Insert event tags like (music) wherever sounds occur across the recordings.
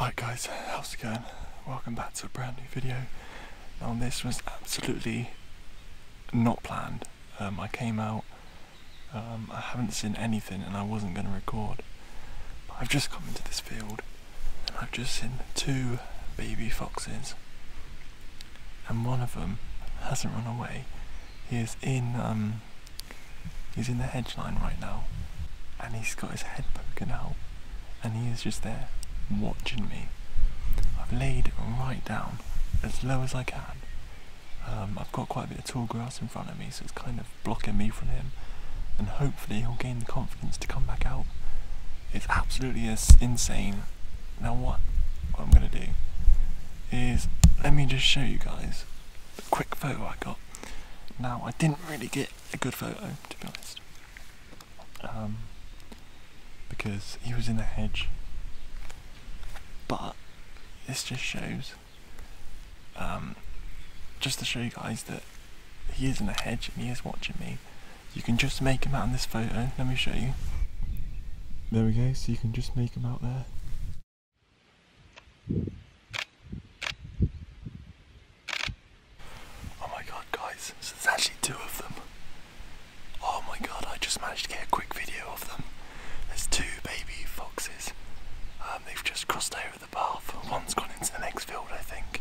Alright guys, how's it going? Welcome back to a brand new video. Now this was absolutely not planned. Um, I came out, um, I haven't seen anything and I wasn't going to record. I've just come into this field and I've just seen two baby foxes. And one of them hasn't run away. He is in um, He's in the hedge line right now, and he's got his head poking out, and he is just there watching me. I've laid right down as low as I can. Um, I've got quite a bit of tall grass in front of me, so it's kind of blocking me from him, and hopefully he'll gain the confidence to come back out. It's absolutely insane. Now what, what I'm gonna do is let me just show you guys the quick photo I got. Now I didn't really get a good photo, to be honest. Um, because he was in a hedge. But this just shows, um, just to show you guys that he is in a hedge and he is watching me. You can just make him out in this photo. Let me show you. There we go, so you can just make him out there. Oh my god guys, there's actually two of them. Oh my god, I just managed to get a quick video of them. There's two baby foxes. Um, they've just crossed over the path. One's gone into the next field, I think,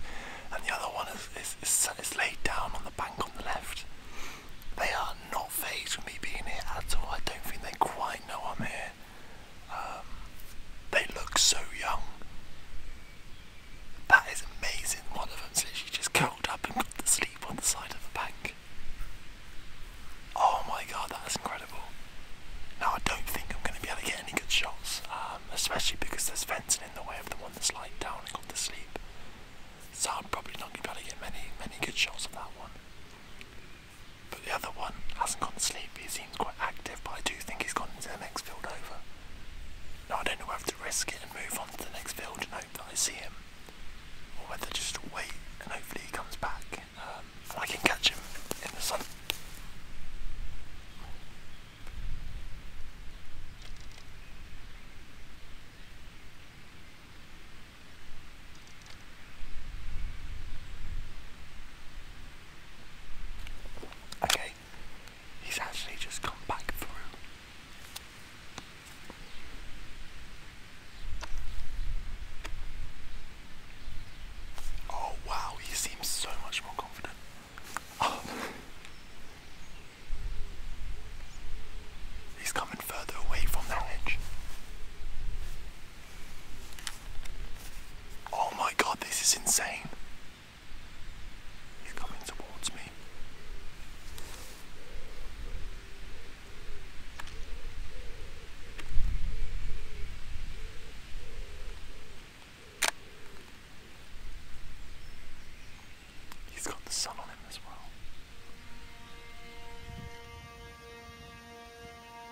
and the other one is laid down on the bank on the left. They are not phased with me being here at all. I don't think they quite know I'm here. Um, they look so young. That is amazing. One of them says she just curled up and got to sleep on the side of the bank. Oh my god, that's incredible. Now, I don't think I'm going to be able to get any good shots, um, especially because there's fencing in the way of the one that's lying down and got to sleep. So, I'm probably not going to be able to get many, many good shots of that one. But the other one hasn't gone to sleep, he's He's quite active, but I do think he's gone into the next field over. Now I don't know whether to risk it and move on to the next field and hope that I see him, or whether just wait and hopefully he comes back um, and I can catch him in the sun. Okay, he's actually just come back through. Oh wow, he seems so much more confident. Oh. He's coming further away from that edge. Oh my god, this is insane. He's coming towards me. He's got the sun on him as well.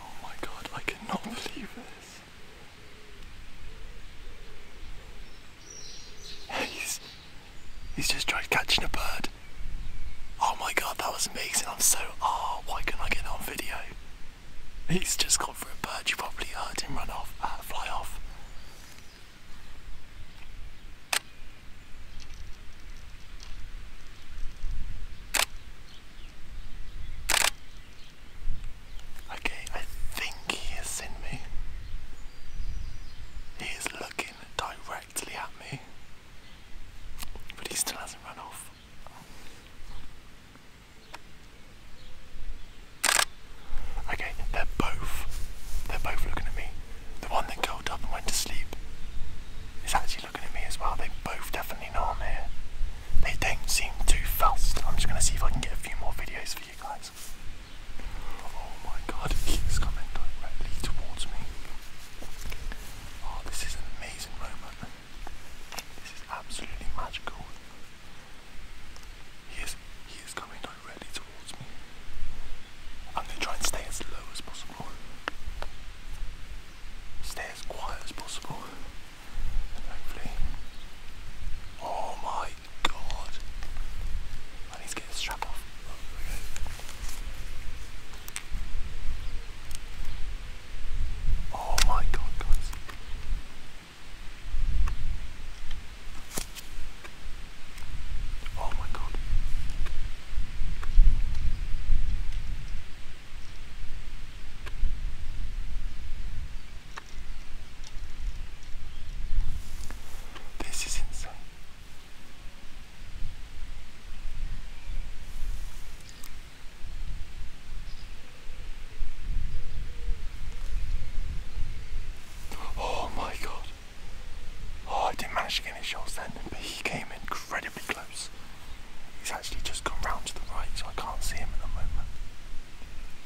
Oh my god, I cannot believe this. He's, he's just tried catching a bird. Oh my god, that was amazing. I'm so, oh, why can not I get on video? He's just gone for a bird. You probably heard him run off, uh, fly off. Okay, I think he has seen me. He is looking directly at me, but he still hasn't run off. Okay, they're both. They're both looking at me. The one that curled up and went to sleep is actually looking at me as well. They both definitely know I'm here. They don't seem too fussed. I'm just going to see if I can get a few more videos for you guys. Oh my god, it keeps coming directly towards me. Oh, this is an amazing moment. This is absolutely magical. He is, he is coming directly I'm going to try and stay as low as possible. Stay as quiet as possible. Oh my god. I need to get this strap off. Oh my god, guys. Oh my god. This is insane. Oh my god. Oh, I didn't manage to get any shots then, but he came incredibly close. He's actually just gone round to the right, so I can't see him at the moment.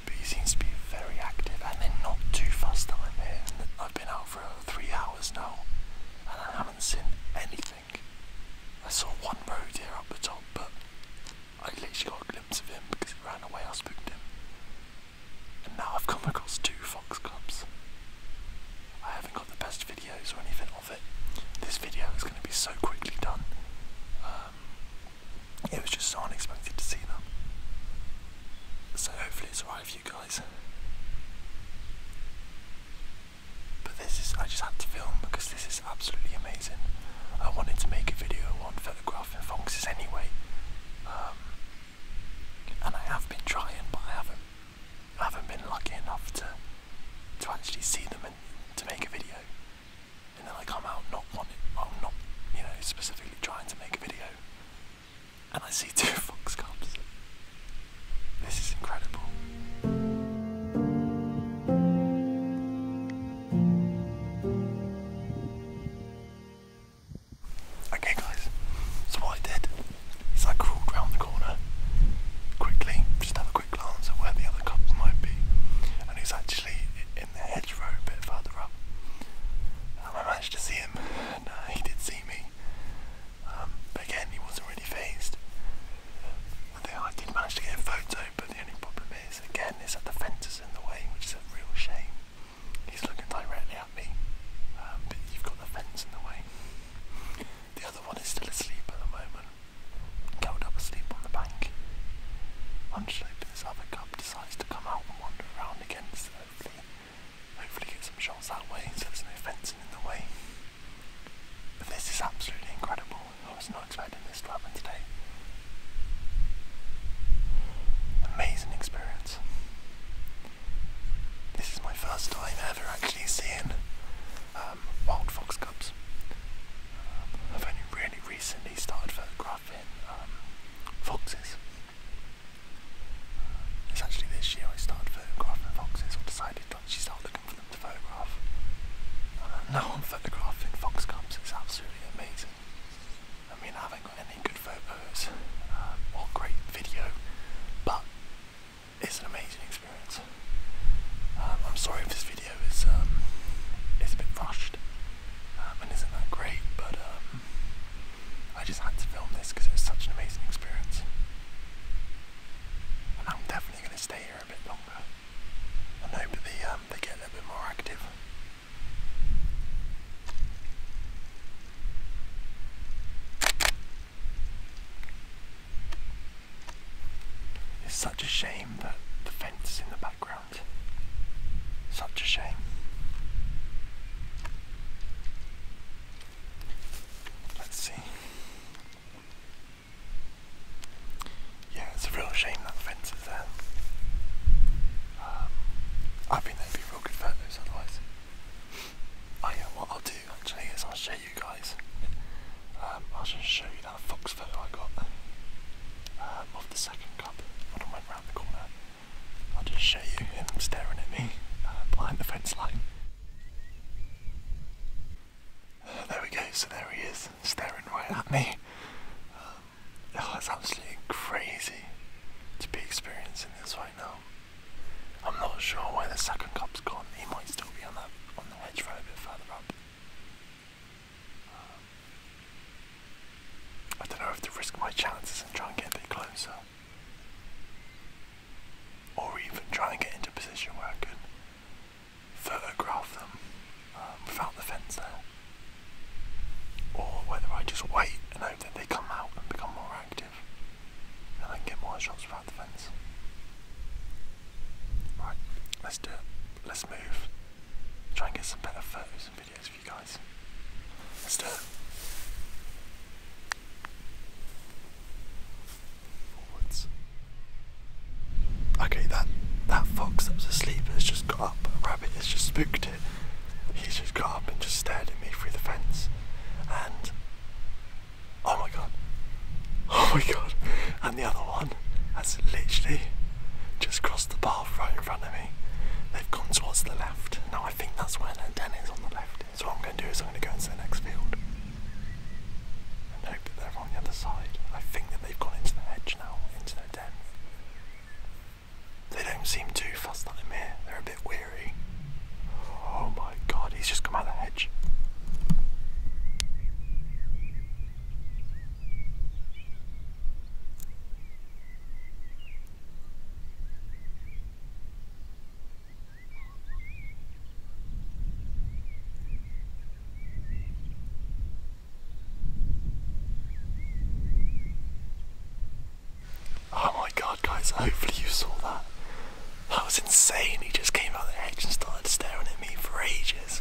But he seems to be very active, and they're not too fast that i have been out for three hours now, and I haven't seen anything. I saw one road here up the top, but I literally got a glimpse of him because he ran away. I spooked him, and now I've come across two fox cubs. I haven't got the best videos or anything of it. This video is going to be so quickly done. Um, it was just so unexpected to see them. So hopefully it's alright for you guys. But this is, I just had to film because this is absolutely amazing. I wanted to make a video on photographing foxes anyway. Um, and I have been trying, but I haven't I haven't been lucky enough to to actually see them and to make a video. And then I come out not wanting, well, not you know specifically trying to make a video, and I see (laughs) two fox cubs. This is incredible. Okay, guys. So what I did. So I crawled round the corner quickly, just have a quick glance at where the other couple might be. And he's actually in the hedgerow a bit further up. Um, I managed to see him, and uh, he did see me. Um, but again, he wasn't really phased. I did manage to get a photo, but the only problem is, again, is that the fence is in the way, which is a real shame. He's looking directly at me, um, but you've got the fence in the way. The other one is still asleep at the moment, curled up asleep on the bank. Hunched this other cub decides to come out and wander around again, hopefully, hopefully get some shots that way so there's no fencing in the way. But this is absolutely incredible. I was not expecting this to happen today. Amazing experience. This is my first time ever actually seeing um, wild fox cubs. Um, I've only really recently started photographing um, foxes. Uh, it's actually this year I started photographing foxes I decided to actually start looking for them to photograph. Uh, now I'm photographing fox cubs, it's absolutely amazing. I mean, I haven't got any good photos or great video, but it's an amazing experience. Um, I'm sorry if this video is um, is a bit rushed um, and isn't that great, but I just had to film this because it was such an amazing experience. And I'm definitely going to stay here a bit longer and hope that they get a bit more active. It's such a shame that the fence is in the background. Such a shame. Let's see. Yeah, it's a real shame that the fence is there. Um, I think there would be real good photos otherwise. Oh yeah, what I'll do actually is I'll show you guys. Um, I'll just show you that fox photo I got um, of the second cup when I went round corner. I'll just show you him staring at me uh, behind the fence line. Uh, there we go, so there he is, staring right at me. Um, it's oh, absolutely crazy to be experiencing this right now. I'm not sure where the 2nd cop cup's gone. He might still be on that on the hedge for a bit further up. I don't know if to risk my chances and try and get a bit closer. Or even try and get into position where I could photograph them um, without the fence there. Or whether I just wait and hope that they come out and become more active effective, and I can get more shots around the fence. Right, let's do it. Let's move. Try and get some better photos and videos for you guys. Let's do it. Forwards. Okay, that that fox that was asleep has just got up. A rabbit has just spooked it. He's just got up and just stared at me through the fence. And Oh my god. Oh my god. And the other one has literally just crossed the path right in front of me. They've gone towards the left. Now I think that's where their den is on the left. So what I'm going to do is I'm going to go into the next field. And hope that they're on the other side. I think that they've gone into the hedge now, into their den. They don't seem too fussed that I'm here. They're a bit weird. Oh my god, he's just come out of the hedge. Oh my god, guys, hopefully you saw that. That was insane. He just came out of the hedge and started staring at me for ages.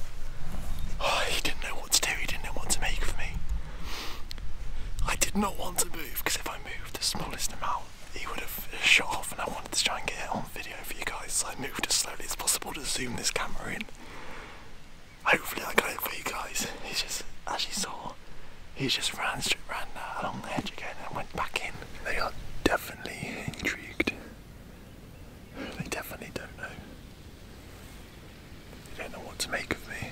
Oh, he didn't know what to do. He didn't know what to make of me. I did not want to move because if I moved the smallest amount, he would have shot off, and I wanted to try and get it on video for you guys. So I moved as slowly as possible to zoom this camera in. Hopefully, I got it for you guys. He just, as you saw, he just ran straight, ran uh, along the hedge again, and went back in. They got definitely intrigued. They definitely don't know. They don't know what to make of me.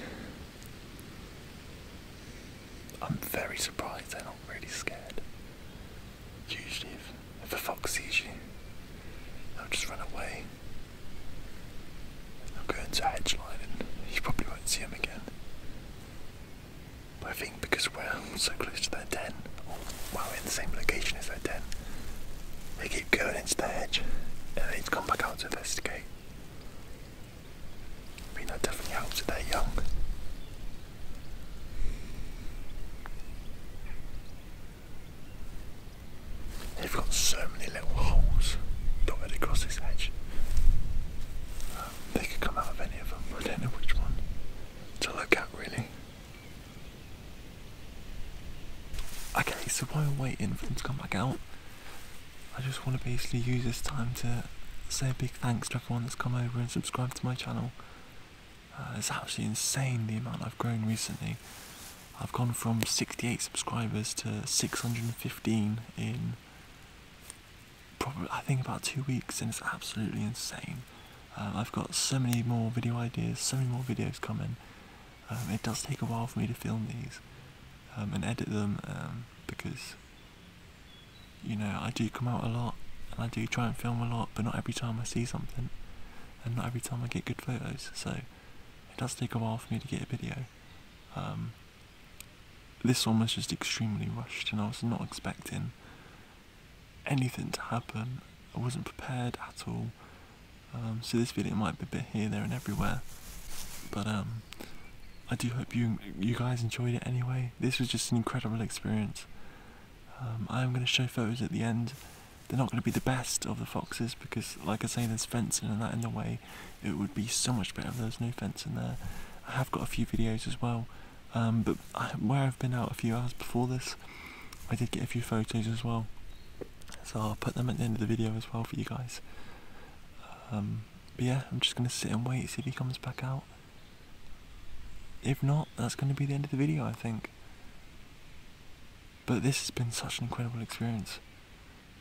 I'm very surprised they're not really scared. Usually, if, a fox sees you, they'll just run away. They'll go into a and you probably won't see them again. I think because we're so close to their den, while we're in the same location as their den, they keep going into the hedge and they come back out to investigate. I mean, that definitely helps if they're young. They've got so many little holes dotted across this hedge. Um, they could come out of any of them. but I don't know which one to look at really. Okay, so while I'm waiting for them to come back out, I just want to basically use this time to say a big thanks to everyone that's come over and subscribed to my channel. Uh, it's absolutely insane the amount I've grown recently. I've gone from 68 subscribers to 615 in probably I think about two weeks, and it's absolutely insane. Um, I've got so many more video ideas, so many more videos coming. Um, it does take a while for me to film these um, and edit them because you know I do come out a lot and I do try and film a lot, but not every time I see something and not every time I get good photos. So it does take a while for me to get a video. this almost just extremely rushed, and I was not expecting anything to happen. I wasn't prepared at all. Um, so this video might be a bit here, there, and everywhere. But um, I do hope you you guys enjoyed it anyway. This was just an incredible experience. Um, I am going to show photos at the end. They're not going to be the best of the foxes because, like I say, there's fencing and that in the way. It would be so much better if there was no fence in there. I have got a few videos as well um, but where I've been out a few hours before this, I did get a few photos as well. So I'll put them at the end of the video as well for you guys. Um, but yeah, I'm just going to sit and wait, see if he comes back out. If not, that's going to be the end of the video, I think. But this has been such an incredible experience.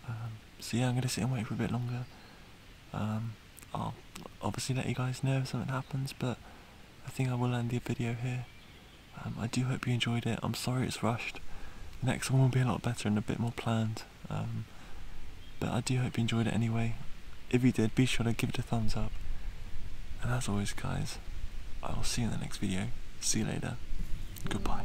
Um, so yeah, I'm going to sit and wait for a bit longer. I'll obviously let you guys know if something happens, but I think I will end the video here. Um, I do hope you enjoyed it. I'm sorry it's rushed. The next one will be a lot better and a bit more planned. Um, but I do hope you enjoyed it anyway. If you did, be sure to give it a thumbs up. And as always, guys, I will see you in the next video. See you later. Goodbye.